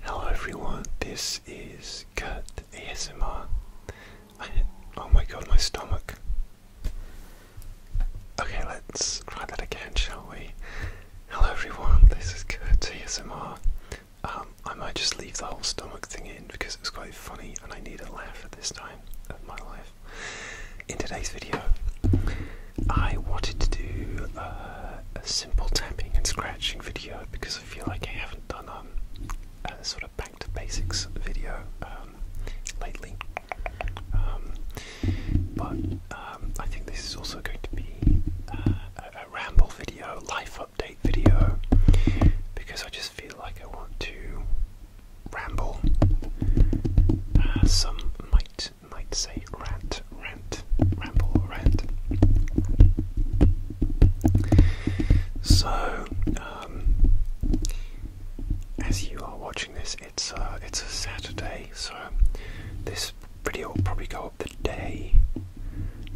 Hello everyone, this is Cat ASMR. I, oh my god, my stomach. Okay, let's try that again, shall we? Hello everyone, this is Cat ASMR. Um, I might just leave the whole stomach thing in because it was quite funny and I need a laugh at this time of my life. In today's video, I wanted to do uh, a simple tapping and scratching video because I feel like I haven't done um, a sort of back to basics video um, lately. Um, but I think this is also going to be uh, a, ramble video, life update video, because I just feel like I want to ramble. Uh, some might might say rant, rant, ramble, rant. So, um, as you are watching this, it's uh, it's a Saturday, so this video will probably go up the day,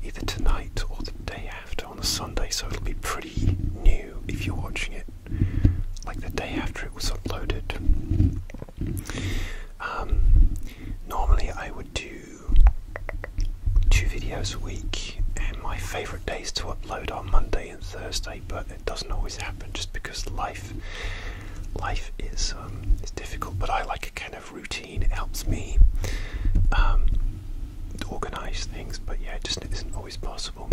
either tonight or the day after on a Sunday. So it'll be pretty new if you're watching it, like the day after it was uploaded. Um, normally, I would do two videos a week, and my favourite days to upload are Monday and Thursday, but it doesn't always happen just because life life is um, is difficult. But I like a kind of routine; it helps me um, organise things. But yeah, it just isn't always possible.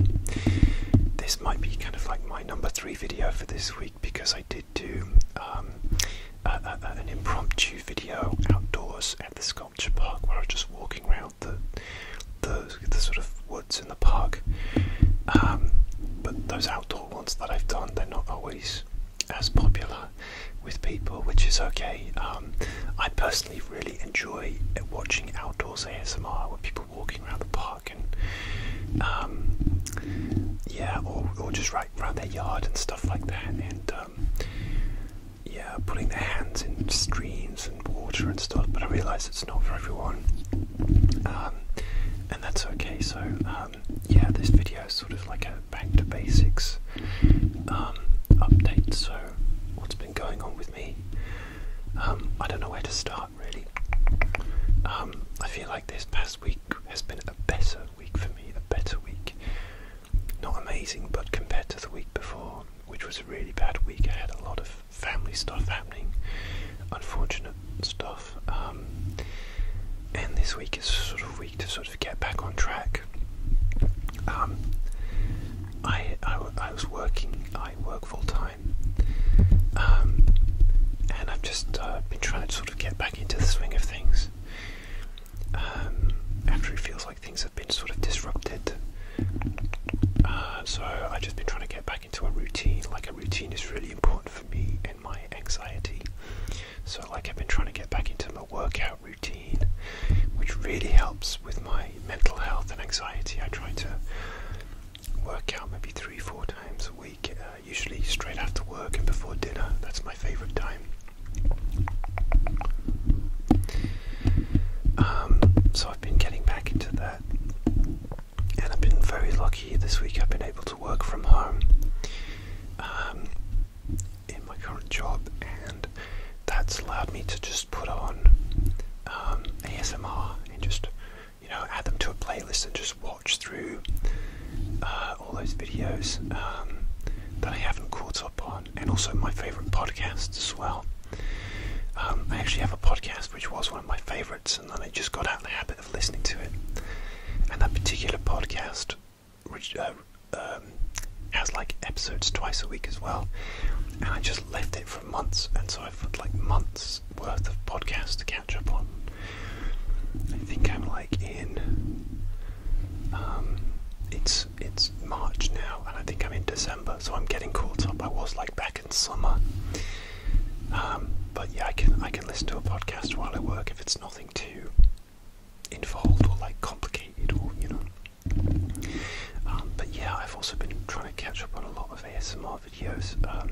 This might be kind of like my number three video for this week because I did do um, an impromptu video outdoors at the sculpture park where I was just walking around the the, the sort of woods in the park. Um, but those outdoor ones that I've done, they're not always as popular with people, which is okay. Um, I personally really enjoy watching outdoors ASMR with people walking around the park um, yeah, or, just right around their yard and stuff like that. And um, yeah, putting their hands in streams and water and stuff. But I realise it's not for everyone, um, and that's okay. So yeah, this video is sort of like a back to basics update. So what's been going on with me? I don't know where to start really. Um, I feel like this past week has been a better week for me, a better week. Not amazing, but compared to the week before, which was a really bad week, I had a lot of family stuff happening, unfortunate stuff. Um, and this week is sort of week to sort of get back on track. Um, I, I, was working, I work full time, and I've just uh, been trying to sort of get back into the swing of things um, after it feels like things have been sort of disrupted. Uh, so I've just been trying to get back into a routine. Like a routine is really important for me and my anxiety. So like I've been trying to get back into my workout routine, which really helps with my mental health and anxiety. I try to work out maybe three, four times a week, uh, usually straight after work and before dinner. That's my favorite time. Um, so I've been getting back into that, and I've been very lucky this week. I've been able to work from home um, in my current job, and that's allowed me to just put on um, ASMR and just you know, add them to a playlist and just watch through uh, all those videos um, that I haven't caught up on, and also my favorite podcasts as well. Um, I actually have a podcast which was one of my favorites, and then I just got out of the habit of listening to it. And that particular podcast, which uh, um, has like episodes twice a week as well, and I just left it for months, and so I've had like months worth of podcasts to catch up on. I think I'm like in. Um, it's it's March now, and I think I'm in December, so I'm getting caught up. I was like back in summer. Um, but yeah, I can I can listen to a podcast while I work if it's nothing too involved or like complicated or you know. Um, but yeah, I've also been trying to catch up on a lot of ASMR videos. Um,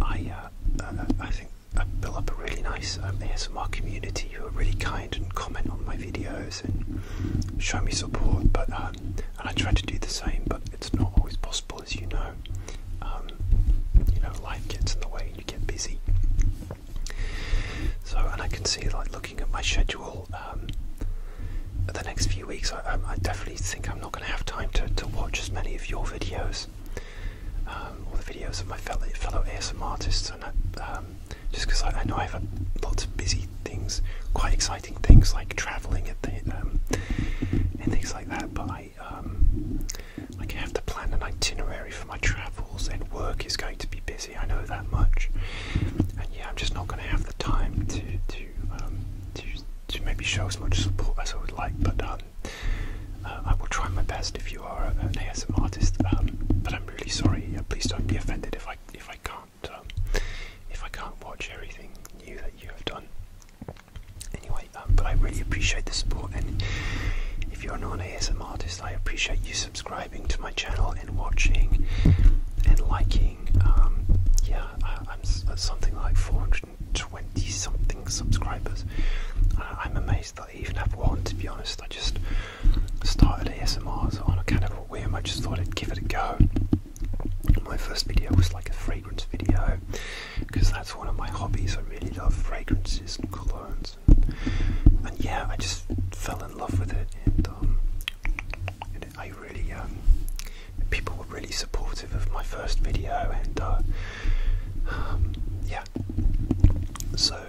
I, uh, uh, I think I build up a really nice um, ASMR community who are really kind and comment on my videos and show me support. But um, and I try to do the same, but it's not always possible, as you know. Um, you know, life gets in the way and you get busy. So, and I can see, like, looking at my schedule, the next few weeks, I, definitely think I'm not going to have time to, watch as many of your videos um, or the videos of my fellow, fellow ASM artists, and um, just because I, know I have lots of busy things, quite exciting things like traveling and, um, things like that. But I, I have to plan an itinerary for my travels, and work is going to be busy. I know that much, and yeah, I'm just not going to have the time to to to maybe show as much support as I would like, but um, uh, I will try my best if you are an ASM artist. Um, but I'm really sorry. please don't be offended if I if I can't um, if I can't watch everything new that you have done. Anyway, but I really appreciate the support, and if you're not an ASM artist, I appreciate you subscribing to my channel and watching and liking. yeah, I'm something like 400 20 something subscribers. Uh, I'm amazed that I even have one, to be honest. I just started ASMRs on a kind of a whim, I just thought I'd give it a go. My first video was like a fragrance video because that's one of my hobbies. I really love fragrances and colognes, and, yeah, I just fell in love with it. Um, I really um, people were really supportive of my first video, and uh, um, yeah. So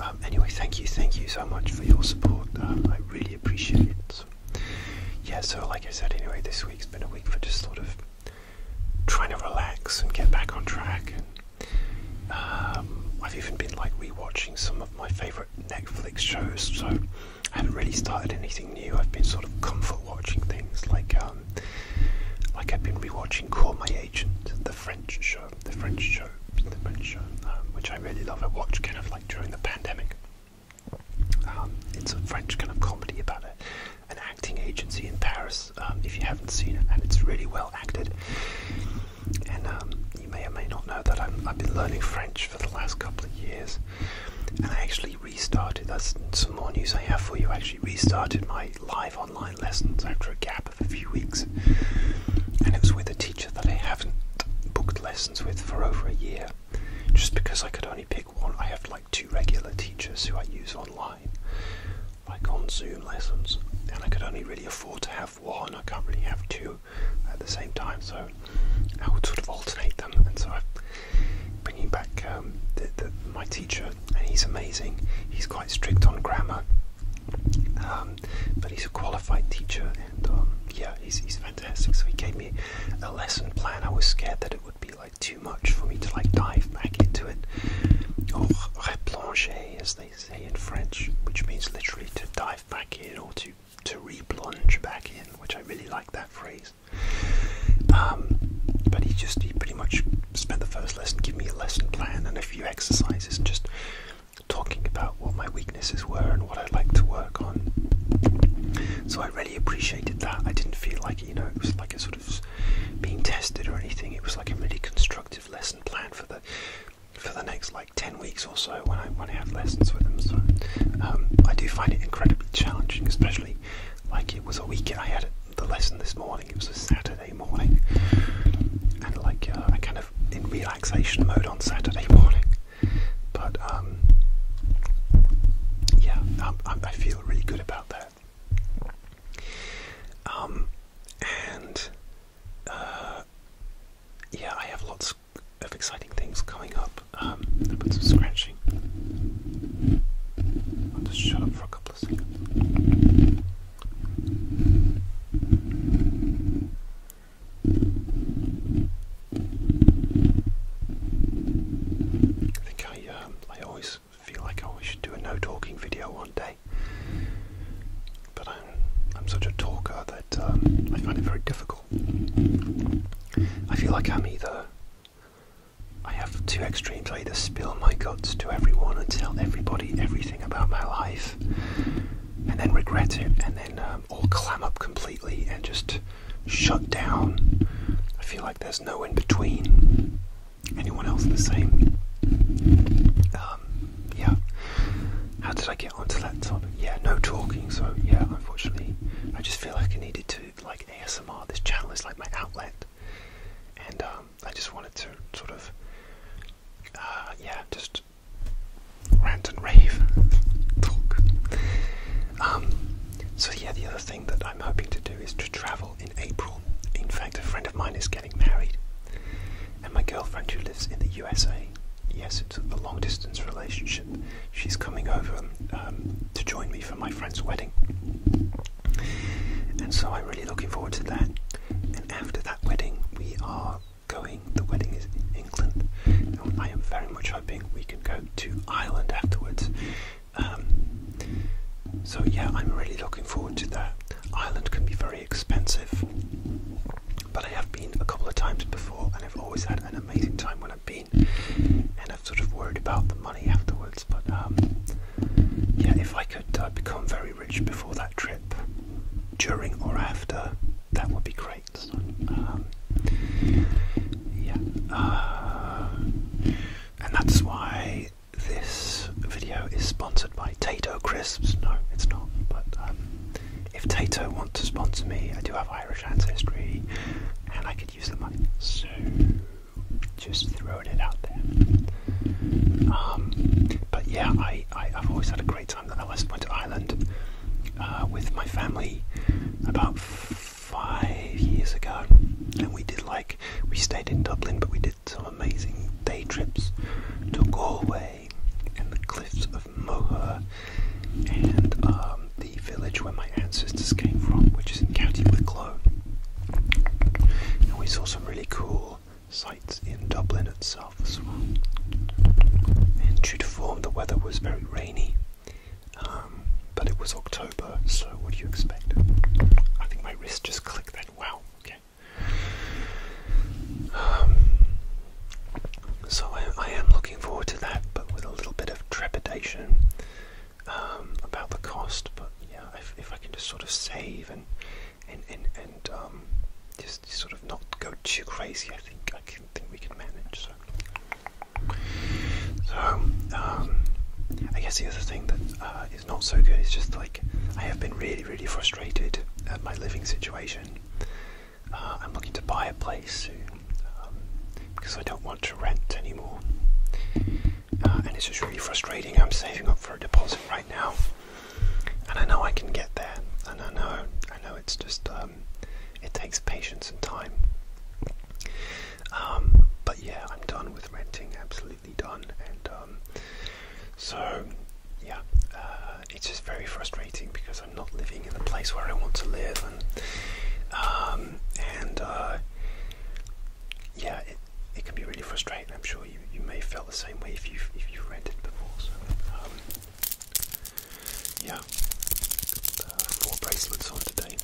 um, anyway, thank you, thank you so much for your support. Uh, I really appreciate it. yeah, so like I said, anyway, this week's been a week for just sort of trying to relax and get back on track. I've even been like rewatching some of my favorite Netflix shows, so I haven't really started anything new. I've been sort of comfort watching things like um, like I've been rewatching Call My Agent, the French show, the French show, the French show, um, which I really love. I watched kind of like during the pandemic. Um, it's a French kind of comedy about an acting agency in Paris. if you haven't seen it, and it's really well acted. And you may or may not know that i I've been learning French for the last couple of years, and I actually restarted, that's some more news I have for you, I actually restarted my live online lessons after a gap of a few weeks. And it was with a teacher that I haven't booked lessons with for over a year. Just because I could only pick one, I have like two regular teachers who I use online, like on Zoom lessons, and I could only really afford to have one. I can't really have two at the same time, so I would sort of alternate them, and so I'm bringing back um, my teacher, and he's amazing. He's quite strict on grammar, um, but he's a qualified teacher, and um, yeah, he's, he's fantastic. So he gave me a lesson plan. I was scared that it would be like too much for me to like dive back into it, or replonger, as they say in French, which means literally to dive back in or to to replunge back in, which I really like that phrase. Um, but he just he pretty much spent the first lesson giving me a lesson plan and a few exercises, and just talking about what my weaknesses were and what I'd like to work on. So I really appreciated that. I didn't feel like you know it was like a sort of being tested or anything. It was like a really constructive lesson plan for the for the next like ten weeks or so also when I when I have lessons with them. So um, I do find it incredibly challenging, especially like it was a weekend. I had the lesson this morning. It was a Saturday morning, and like uh, I kind of in relaxation mode on Saturday morning. But um, yeah, I feel really good about that. Um, and uh, yeah, I have lots of exciting things coming up. Um, there some scratching. I'll just shut up for a couple of seconds. I think I, um, I always feel like I should do a no talking video one day, but I'm such a talker that um, I find it very difficult. I feel like I'm either. I have two extremes. I either spill my guts to everyone and tell everybody everything about my life, and then regret it, and then um, all clam up completely and just shut down. I feel like there's no in between. Anyone else the same? Um, yeah. How did I get? get that topic. Yeah, no talking. So yeah, unfortunately, I just feel like I needed to like ASMR. This channel is like my outlet, and um, I just wanted to sort of uh, yeah, just rant and rave, talk. Um, so yeah, the other thing that I'm hoping to do is to travel in April. In fact, a friend of mine is getting married, and my girlfriend who lives in the USA. Yes, it's a long distance relationship she's coming over um, to join me for my friend's wedding. And so I'm really looking forward to that. And after that wedding, we are going, the wedding is in England. And I am very much hoping we can go to Ireland afterwards. Um, so, yeah, I'm really looking forward to that. Ireland can be very expensive, but I have been a couple of times before, and I've always had an amazing time when I've been. And I've sort of worried about the money afterwards. But um, yeah, if I could uh, become very rich before that trip, during or after, that would be great. Um, yeah, uh, and that's why this video is sponsored by Tato Crisps. No, it's not, but um, if Tato want to sponsor me, I do have Irish ancestry and I could use the money. So just throwing it out there. Um, but yeah, I, I, have always had a great time that I last went to Ireland uh, with my family about five years ago. And we did like, we stayed in Dublin, but we did some amazing day trips to Galway Bay and the cliffs of Moher and um, the village where my ancestors came from, which is in County Wicklow. And we saw some really cool sights in Dublin itself as well. And due to form, the weather was very rainy, um, but it was October, so what do you expect? I think my wrist just clicked that. Wow, okay. Um, so I, am looking forward to that, but with a little bit of trepidation um, about the cost. But yeah, if, I can just sort of save and and and um, just sort of not go too crazy, I think I think we can manage. So, um, I guess the other thing that uh, is not so good is just like I have been really really frustrated at my living situation. Uh, I'm looking to buy a place soon um, because I don't want to rent anymore. Uh, and it's just really frustrating. I'm saving up for a deposit right now, and I know I can get there. And I know, I know it's just um, it takes patience and time. Um, but yeah, I'm done with renting. Absolutely done. And so yeah, uh, it's just very frustrating because. I'm not living in the place where I want to live, and um, uh, yeah, it, can be really frustrating. I'm sure you, you may felt the same way if you if you've rented before. Um, yeah, uh, four bracelets on today.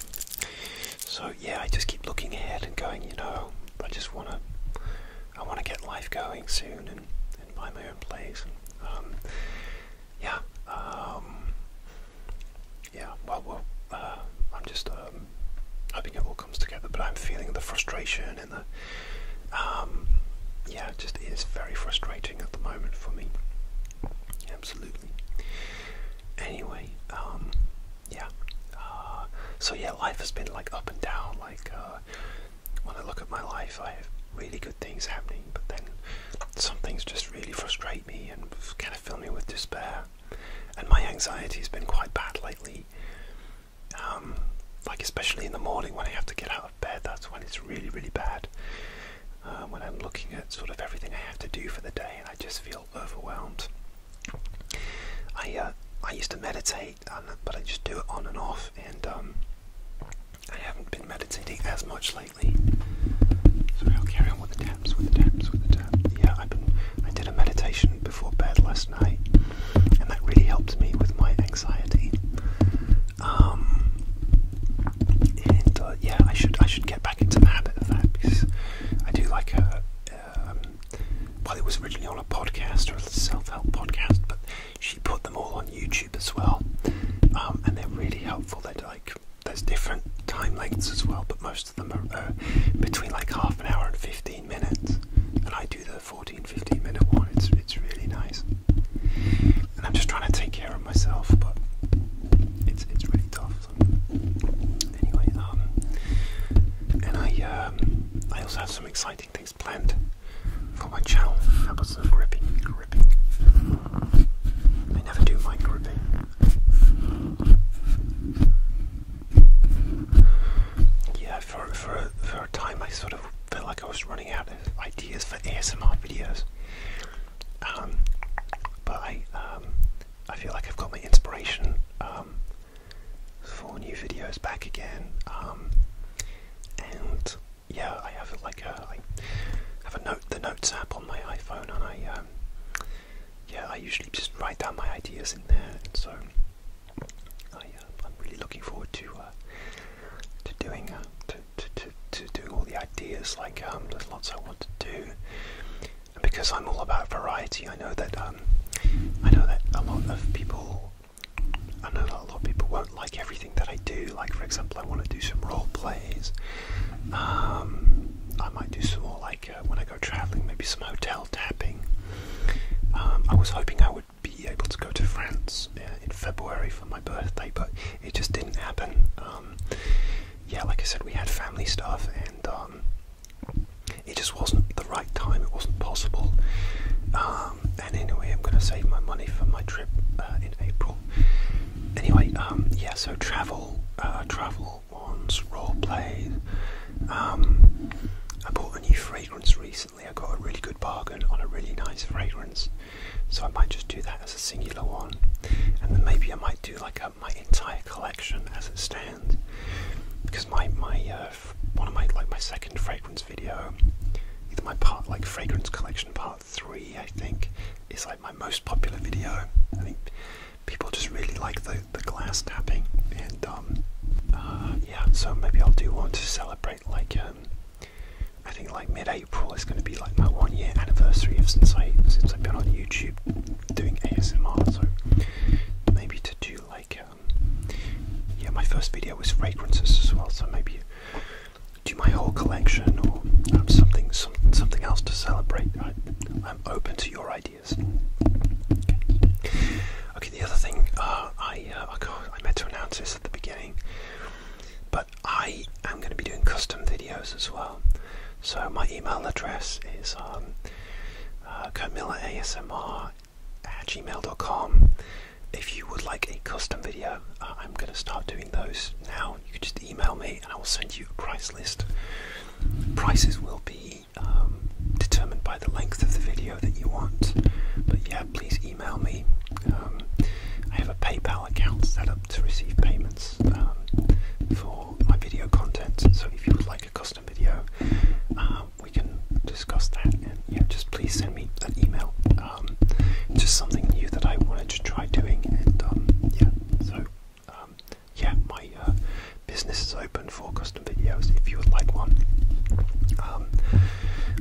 So yeah, I just keep looking ahead and going. You know, I just wanna I wanna get life going soon and and my own plays. Um, yeah, um, yeah. Well, uh, I'm just um, hoping it all comes together, but I'm feeling the frustration and the yeah, it just is very frustrating at the moment for me. Absolutely. Anyway, yeah. Uh, so yeah, life has been like up and down, like. Uh, when I look at my life, I have really good things happening, but then some things just really frustrate me and kind of fill me with despair. And my anxiety has been quite bad lately. Um, like especially in the morning when I have to get out of bed, that's when it's really, really bad. Uh, when I'm looking at sort of everything I have to do for the day, I just feel overwhelmed. I uh, I used to meditate, but I just do it on and off, and um, I haven't been meditating as much lately. So I'll carry on with the taps, with the taps, with the taps. Yeah, I've been, I did a meditation before bed last night, and that really helped me with my anxiety. Um, and uh, yeah, I should I should get back into the habit of that because I do like a. Um, well, it was originally on a podcast or a self-help podcast, but she put them all on YouTube as well, um, and they're really helpful. They're like there's different time lengths as well, but most of them are uh, between like half an hour and 15 minutes. And I do the 14, 15 minute one. It's it's really nice. And I'm just trying to take care of myself, but it's it's really tough. So. Anyway, um, and I um, I also have some exciting things taste for my channel. I never do my gripping. Yeah, for, for, for a time I sort of felt like I was running out of ideas for ASMR videos. Um, but I, um, I feel like I've got my inspiration um, for new videos back again. and yeah, I have like a, uh, I have a note, the notes app on my iPhone, and I, um, yeah, I usually just write down my ideas in there. so I, am uh, really looking forward to uh, to doing to, to, to doing all the ideas. Like, um, there's lots I want to do, because I'm all about variety, I know that um, I know that a lot of people I know a lot of people won't like everything that I do. Like, for example, I want to do some role plays. Um, I might do some more, like, uh, when I go traveling, maybe some hotel tapping. Um, I was hoping I would be able to go to France uh, in February for my birthday, but it just didn't happen. Um, yeah, like I said, we had family stuff, and it just wasn't the right time. It wasn't possible and anyway, I'm going to save my money for my trip uh, in April. Anyway, um, yeah, so travel, uh, travel ones, raw plays. Um, I bought a new fragrance recently. I got a really good bargain on a really nice fragrance, so I might just do that as a singular one, and then maybe I might do like my entire collection as it stands, because my my. Uh, one of my like my second fragrance video, either my part like fragrance collection part three, I think, is like my most popular video. I think people just really like the the glass tapping, and um, uh, yeah. So maybe I'll do one to celebrate like um, I think like mid-April is going to be like my one year anniversary of since I since I've been on YouTube doing ASMR. So maybe to do like. Uh, yeah, my first video was fragrances as well, so maybe do my whole collection or um, something, something else to celebrate. I, am open to your ideas. Okay, the other thing uh, I uh, I meant to announce this at the beginning, but I am going to be doing custom videos as well. So my email address is um, uh, CamillaASMR at gmail.com if you would like a custom video uh, i'm going to start doing those now you can just email me and i will send you a price list prices will be um, determined by the length of the video that you want but yeah please email me um, i have a paypal account set up to receive payments um, for my video content so if you would like a custom video um, we can discuss that. yeah, just please send me an email. Um, just something new that I wanted to try doing. Um, yeah, so yeah, my uh, business is open for custom videos if you would like one.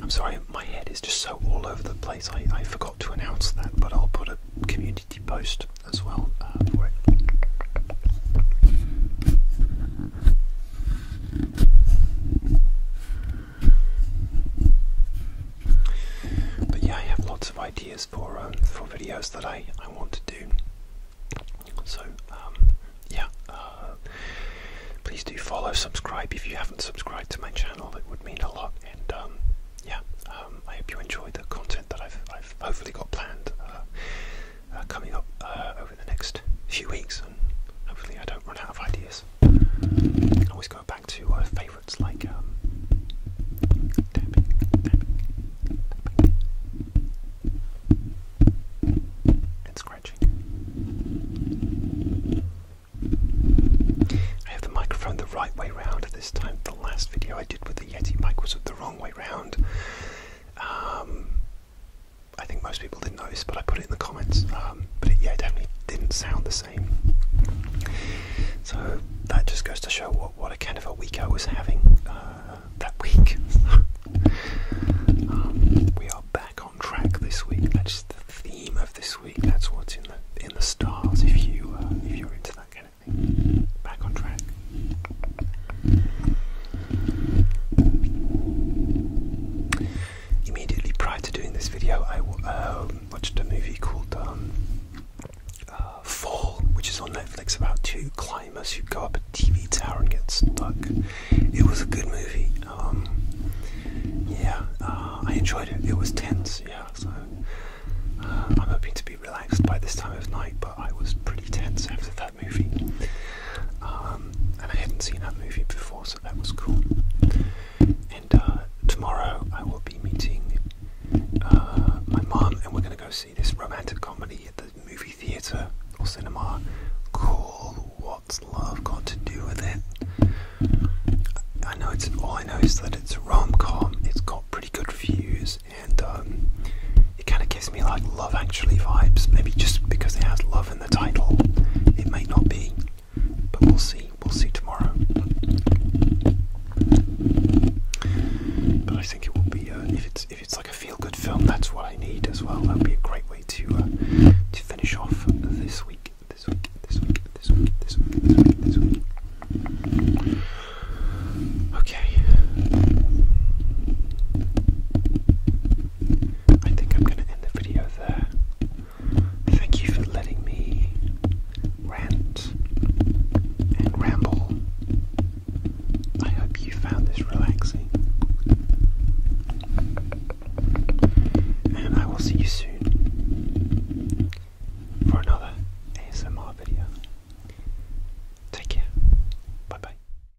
I'm sorry, my head is just so all over the place. I, forgot to announce that, but I'll put a community post as well uh, but yeah, I have lots of ideas for um, for videos that I I want to do. So um, yeah, uh, please do follow, subscribe if you haven't subscribed to my channel. It would mean a lot. And um, yeah, um, I hope you enjoy the content that I've I've hopefully got planned uh, uh, coming up in the next few weeks, and hopefully I don't run out of ideas. I always go back to uh, favourites like um, and scratching. I have the microphone the right way round this time. The last video I did with the Yeti mic was the wrong way round. Um, I think most people didn't notice, but I put it in the comments. Um, but yeah, it definitely didn't sound the same. So that just goes to show what, what a kind of a week I was having uh, that week. Um, we are back on track this week. That's the theme of this week. That's what's in the in the stars. If you uh, if you're into that kind of thing, back on track. Immediately prior to doing this video, I um, watched a movie called um, uh, Fall, which is on Netflix about two climbers who go up a TV tower and get stuck. It was a good movie. Um, yeah, uh, I enjoyed it. It was tense, yeah. So uh, I'm hoping to be relaxed by this time of night, but I was pretty tense after that that movie. Um, and I hadn't seen that movie before, so that was cool. And uh, tomorrow I will be meeting uh, my mom, and we're going to go see this romantic comedy at the movie theatre or cinema called What's Love Got to Do with It? I know it's all I know is that it's a rom com, it's got pretty good reviews, and um, it kind of gives me like love actually vibes, maybe just because it has love in given the title. It may not be, but we'll see. We'll see tomorrow. But I think it will be uh, if it's if it's like a feel good film. That's what I need as well. That would be a great way to uh, to finish off this week. This week. This week. This week. This week. This week. This week. Okay. I think I'm going to end the video there. Thank you for letting me rant and ramble. I hope you found this relaxing. And I will see you soon for another ASMR video. Take care. Bye bye.